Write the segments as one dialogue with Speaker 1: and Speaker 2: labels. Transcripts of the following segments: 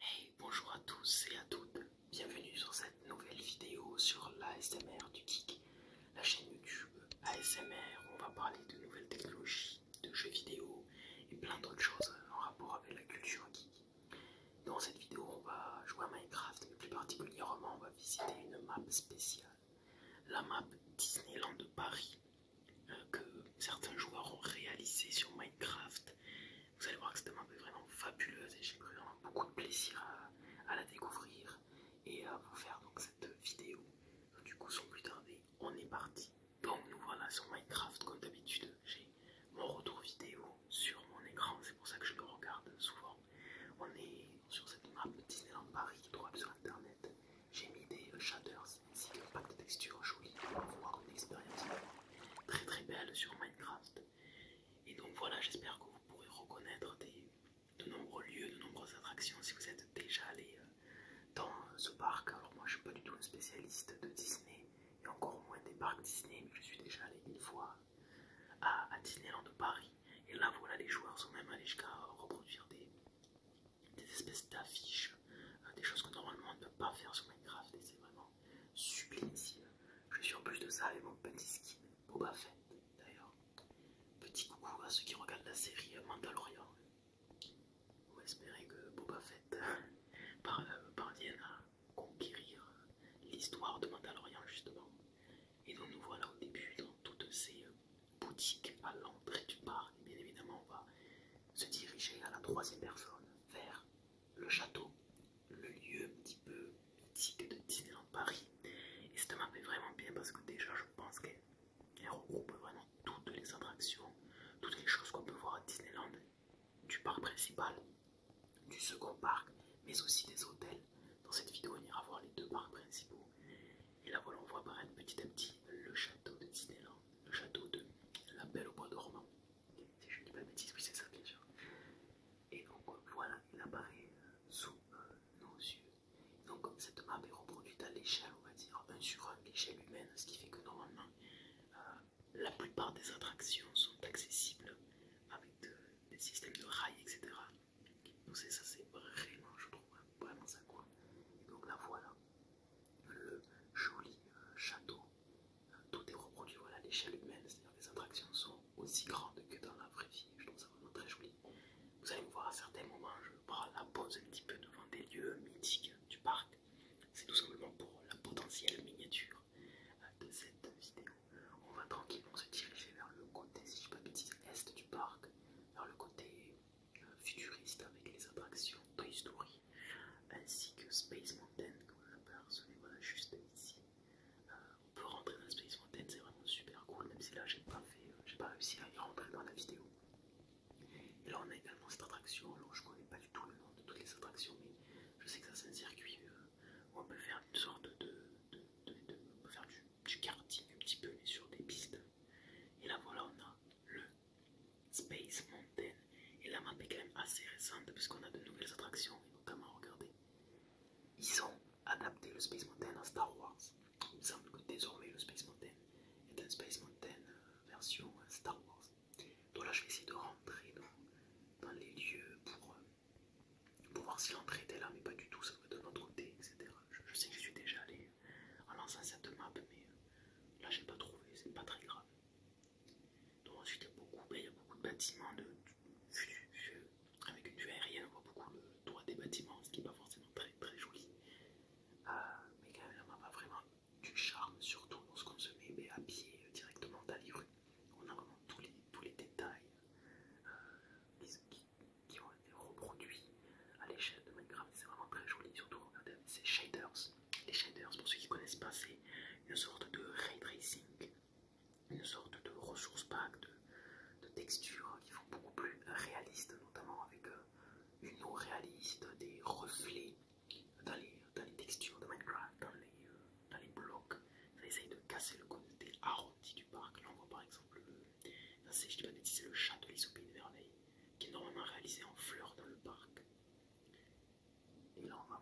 Speaker 1: Hey, bonjour à tous et à toutes, bienvenue sur cette nouvelle vidéo sur l'ASMR du Geek, la chaîne YouTube ASMR on va parler de nouvelles technologies, de jeux vidéo et plein d'autres choses en rapport avec la culture geek. Dans cette vidéo, on va jouer à Minecraft, mais plus particulièrement, on va visiter une map spéciale, la map Disneyland de Paris, euh, que certains joueurs ont réalisé sur Minecraft vous allez voir que cette map est vraiment fabuleuse et j'ai pris vraiment beaucoup de plaisir à, la découvrir et à vous faire donc cette vidéo. du coup, sans plus tarder, on est parti. Donc nous voilà sur Minecraft comme d'habitude. J'ai mon retour vidéo sur mon écran, c'est pour ça que je le regarde souvent. On est sur cette map Disneyland Paris qui trouve sur internet. J'ai mis des shaders ainsi un pack de textures joli pour avoir une expérience très très belle sur Minecraft. Et donc voilà, j'espère que vous pourrez reconnaître de nombreux lieux, de nombreuses attractions si vous êtes déjà allé euh, dans euh, ce parc. Alors moi je suis pas du tout un spécialiste de Disney et encore moins des parcs Disney, mais je suis déjà allé une fois à, Disneyland de Paris. Et là voilà, les joueurs sont même allés jusqu'à reproduire des, des espèces d'affiches, euh, des choses que normalement on ne peut pas faire sur Minecraft et c'est vraiment sublime Je suis en plus de ça avec mon petit skin Boba Fett d'ailleurs. Petit coucou à ceux qui regardent la série Mandalorian. vous espérez que Boba Fett euh, parvienne à conquérir l'histoire de Mandalorian justement. Et donc nous voilà au début dans toutes ces euh, boutiques à l'entrée du parc. Bien évidemment on va se diriger à la troisième personne vers le château, le lieu un petit peu mythique de Disneyland Paris. Et ça m'a fait vraiment bien parce que déjà je pense qu'elle regroupe vraiment toutes les attractions, toutes les choses qu'on peut voir à Disneyland, du parc principal, du second parc, mais aussi des hôtels. Dans cette vidéo, on ira voir les deux parcs principaux. Et là voilà, on voit apparaître petit à petit le château de Disneyland, le château de la Belle au bois dormant. Si je ne dis pas de bêtises, oui c'est ça bien sûr. Et donc voilà, il apparaît euh, sous euh, nos yeux. Donc cette map est reproduite à l'échelle, on va dire, 1 sur l'échelle humaine, ce qui fait que normalement euh, la plupart des attractions sont accessibles avec des systèmes de rails, etc. Donc ça c'est vraiment, je trouve, vraiment ça quoi. donc la voilà, le joli euh, château. Tout est reproduit voilà, à l'échelle humaine, c'est-à-dire les attractions sont aussi grandes que dans la vraie vie. Je trouve ça vraiment très joli. Vous allez me voir à certains moments, je prends la pause un petit peu devant des lieux mythiques du parc. C'est tout simplement pour la potentielle miniature euh, de cette vidéo. On va tranquillement se diriger vers le côté, si je pas est du parc, vers le côté euh, futuriste avec les attractions Toy euh, ainsi que Space Mountain, comme on apercevez hein, voilà, juste ici. Euh, on peut rentrer dans Space Mountain, c'est vraiment super cool, même si là j'ai pas fait, euh, j'ai pas réussi à y rentrer dans la vidéo. Et là on a également cette attraction, alors je connais pas du tout le nom de toutes les attractions, mais je sais que ça c'est un circuit où on peut faire une sorte de, de, de, faire du, du karting un petit peu, mais sur des pistes. Et là voilà on a le Space Mountain. Et la map est quand même assez récente puisqu'on a de nouvelles attractions, et notamment, regardez, ils ont adapté le Space Mountain à Star Wars. Il me semble que désormais le Space Mountain est un Space Mountain euh, version euh, Star Wars. Donc là, je vais essayer de rentrer dans, les lieux euh, pour, voir si l'entrée était là, mais pas du tout, ça me donne de notre côté, etc. Je, sais que je suis déjà allé en lançant cette map, mais là, j'ai pas trouvé, c'est pas très grave. Donc ensuite, il y a beaucoup, ben, beaucoup de bâtiments de, euh, avec une vue aérienne, on voit beaucoup le toit des bâtiments, ce qui n'est pas forcément très très joli. Euh, mais quand même, on a vraiment du charme, surtout lorsqu'on se met ben, à pied euh, directement dans les rues. On a vraiment tous les, détails qui, ont été reproduits à l'échelle de Minecraft. C'est vraiment très joli, surtout regardez ces shaders les shaders, pour ceux qui connaissent pas, c'est une sorte de ray tracing, une sorte de ressource pack de, textures qui font beaucoup plus réaliste, notamment avec euh, une eau réaliste, des reflets dans les, textures de Minecraft, euh, dans les, blocs. Ça essaye de casser le côté arrondi du parc. Là, on voit par exemple le. chat de l'Isopée de qui est normalement réalisé en fleurs dans le parc. Et là, on va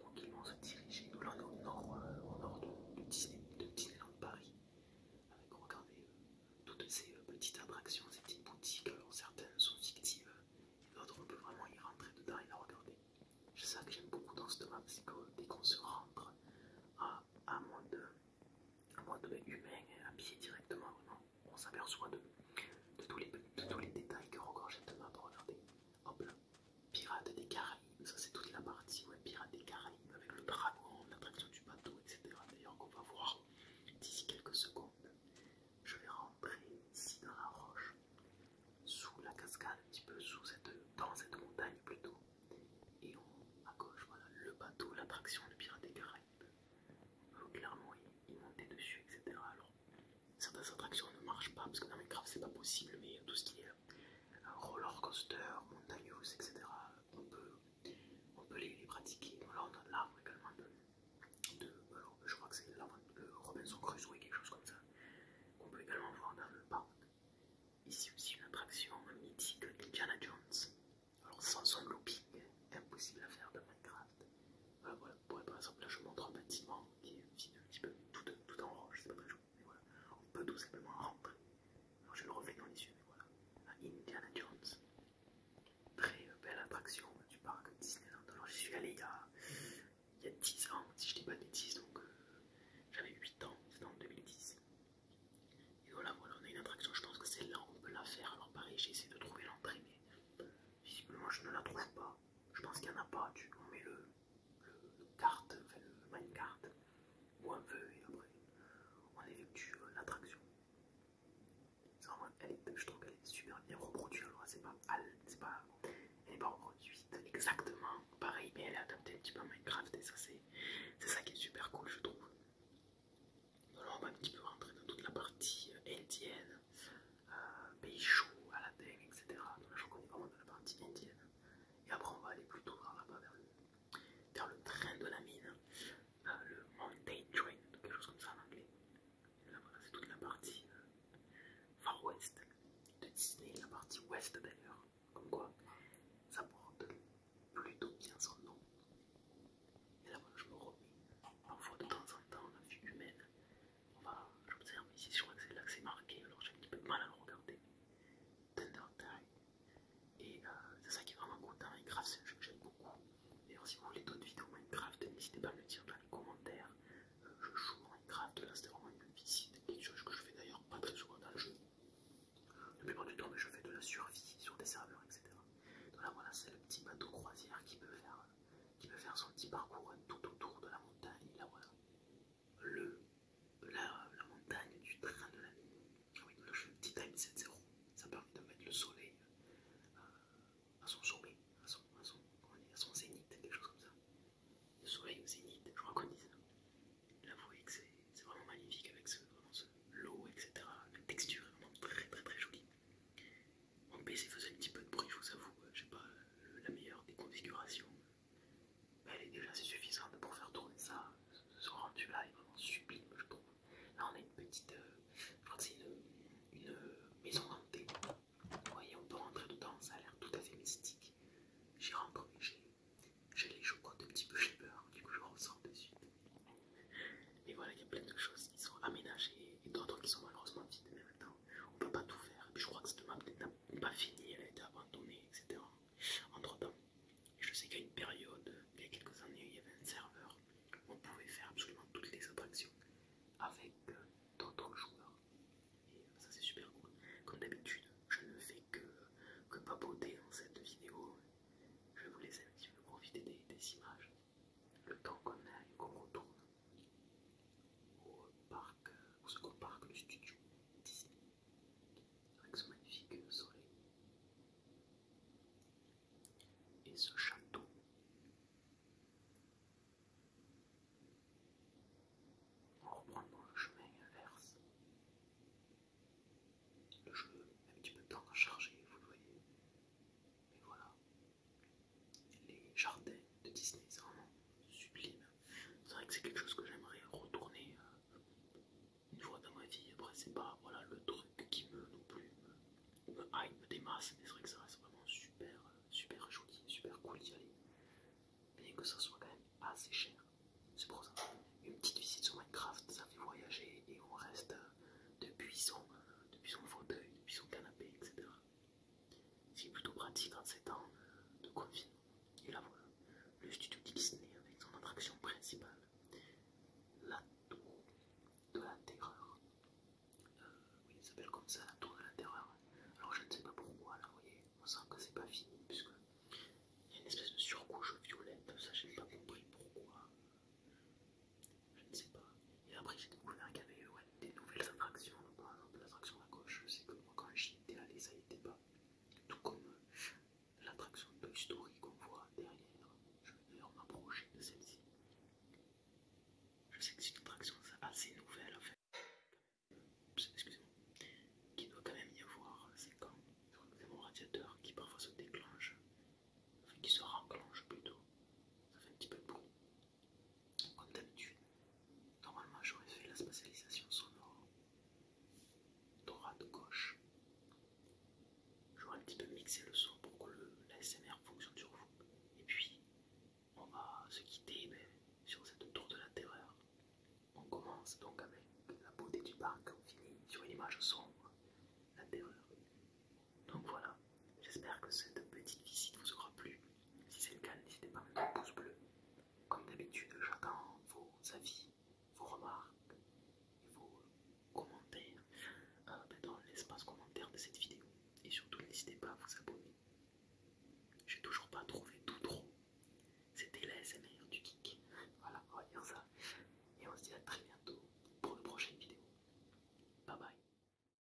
Speaker 1: tranquillement se diriger. Nous au nord, euh, nord de, de Disneyland Paris. Avec, regarder euh, toutes ces euh, petites attractions, ces petites boutiques. Alors, certaines sont fictives, et d'autres, on peut vraiment y rentrer dedans et la regarder. C'est ça que j'aime beaucoup dans ce map. c'est que dès qu'on se rentre à, un mode, humain, à pied directement, on s'aperçoit de de tous les, tous les détails que Rogorgette m'a regardez, hop là, Pirates des Caraïbes, ça c'est toute la partie, ouais, Pirates des Caraïbes avec le dragon, l'attraction du bateau, etc. D'ailleurs qu'on va voir d'ici quelques secondes, je vais rentrer ici dans la roche, sous la cascade, un petit peu dans cette montagne plutôt, et on, à gauche, voilà, le bateau, l'attraction, du Pirate des Caraïbes. Clairement, y monter dessus, etc certaines attractions ne marchent pas parce que dans Minecraft c'est pas possible mais tout ce qui est euh, roller coaster, montagneuse, etc. On peut, les, pratiquer. là on a l'arbre également de, euh, je crois que c'est Robinson Crusoe quelque chose comme ça qu'on peut également voir dans le parc. Ici aussi une attraction mythique Indiana Jones. Alors sans son looping, impossible à faire dans Minecraft. Ah, voilà, par exemple, là je montre un bâtiment qui est un petit peu, tout, euh, tout en roche, c'est pas très joli. Mais voilà, on peut tout simplement rentrer. Alors je le revenir dans les yeux, mais voilà. Indiana Jones, très euh, belle attraction euh, du parc Disneyland. Alors je suis allé il y, a, 10 ans, si je dis pas de bêtises, donc j'avais 8 ans, c'était en 2010. Et voilà, voilà, on a une attraction, je pense que c'est là on peut la faire. Alors pareil, j'ai essayé de trouver l'entrée, Visiblement, je ne la trouve pas. Je pense qu'il n'y en a pas. on met le, Minecraft enfin le minecart, ou un feu, et après, on effectue euh, l'attraction. Je trouve qu'elle est super bien reproduite. Alors, c'est pas, pas, elle n'est pas reproduite exactement pareil, mais elle est adaptée un petit peu à Minecraft, et ça, c'est ça qui est super cool, je trouve. on va un petit peu rentrer dans toute la partie euh, indienne pays euh, à la etc. Donc je connais vraiment la partie indienne. Et après, on va aller plutôt vers vers, le train de la mine, euh, le Mountain Train, quelque chose comme ça en anglais. là, c'est toute la partie euh, far west de Disney, la partie ouest d'ailleurs. Comme quoi, ça porte plutôt bien son nom. Et là, voilà, je me remets parfois de temps en temps la vue humaine j'observe ici, je crois que c'est là que c'est marqué, alors j'ai un petit peu de mal à le regarder. Et euh, c'est ça qui est vraiment cool dans Minecraft, c'est un jeu que j'aime beaucoup. D'ailleurs, si vous voulez d'autres vidéos Minecraft, n'hésitez pas à me le dire dans les commentaires. Euh, je joue Minecraft, là c'était vraiment une visite, quelque chose que je fais d'ailleurs pas très souvent dans le jeu. La plupart du temps, mais je fais de la survie sur des serveurs, etc. Donc là, voilà, c'est le petit bateau croisière qui peut faire qui peut faire son petit parcours euh, tout autour de la montagne. Le, la, montagne du train de la nuit. Oui, je time 7-0. Ça permet de mettre le soleil euh, à son sommet, à son, à, son, à son zénith, quelque chose comme ça. Le soleil au zénith, je crois qu'on dit ça. Là vous que c'est vraiment magnifique avec ce, ce l'eau, etc. La texture est vraiment très très très jolie. Mon PC faisait un petit peu de bruit, je vous avoue, j'ai pas la meilleure des configurations. Mais elle est déjà assez suffisante pour faire tourner ça. Ce rendu là est vraiment sublime, je trouve. Là, on a une petite. Euh, une, euh, maison hantée. Vous voyez, on peut rentrer dedans, ça a l'air tout à fait mystique. J'y rentre, mais j'ai les chocottes un petit peu, j'ai peur, du coup je ressors de suite. Mais voilà, il y a plein de choses qui sont aménagées et d'autres qui sont malheureusement vides, mais maintenant on ne peut pas tout faire. Et puis je crois que cette map n'est pas finie, elle a été abandonnée, etc. Entre temps, je sais qu'à une période, il y a quelques années, il y avait un serveur où on pouvait faire absolument toutes les attractions avec euh, d'autres joueurs. Et euh, ça c'est super cool. Comme d'habitude, je ne fais que, papoter dans cette vidéo. Je vais vous laisser un petit peu profiter des images le temps qu'on aille, qu'on retourne au parc, au second parc, le studio Disney, avec ce magnifique soleil et ce château. On reprend le chemin inverse, le jeu, un petit peu de temps à charger, vous le voyez, mais voilà, les jardins de Disney, c'est vraiment sublime. C'est vrai que c'est quelque chose que j'aimerais retourner euh, une fois dans ma vie. Après, c'est pas voilà, le truc qui me non plus me, me mais c'est vrai que ça reste vraiment super, euh, super joli, super cool d'y aller. Bien que ça soit quand même assez cher, c'est pour ça. Une petite visite sur Minecraft, ça fait voyager et on reste euh, depuis depuis son fauteuil, depuis son canapé, etc. C'est plutôt pratique en ces temps de confinement. Et la voilà, le studio Disney avec son attraction principale, la tour de la terreur. Euh, oui, il s'appelle comme ça, la tour de la terreur. Alors je ne sais pas pourquoi, là, vous voyez, on sent que c'est pas fini, puisque il y a une espèce de surcouche violette, ça j'ai pas compris pourquoi je ne sais pas. Et après, j'ai découvert qu'il y avait des nouvelles attractions. Par exemple, l'attraction à gauche, je que moi, quand j'y étais allé, ça n'y était pas. Tout comme euh, l'attraction Toy Story qu'on voit derrière. Je vais d'ailleurs m'approcher de celle-ci. Je sais que c'est une attraction assez nouvelle en fait. Euh, excusez-moi. Qui doit quand même y avoir. Euh, c'est quand C'est mon radiateur qui parfois se déclenche. Enfin, qui se renclenche plutôt. Ça fait un petit peu de bruit. Comme d'habitude, normalement j'aurais fait la spatialisation sonore droite-gauche. J'aurais un petit peu mixé le son pour que le, fonctionne sur vous. Et puis, on va se quitter ben, sur cette tour de la terreur. On commence donc avec la beauté du parc, on finit sur une image sombre, la terreur. Donc voilà, j'espère que cette petite visite vous aura plu. Si c'est le cas, n'hésitez pas à mettre un pouce bleu. Comme d'habitude, j'attends vos avis, vos remarques vos commentaires euh, ben, dans l'espace commentaire de cette vidéo. Et surtout, n'hésitez pas à vous abonner. J'ai toujours pas trouvé tout trop. C'était la SMR du kick. Voilà, on va dire ça. Et on se dit à très bientôt pour une prochaine vidéo. Bye bye.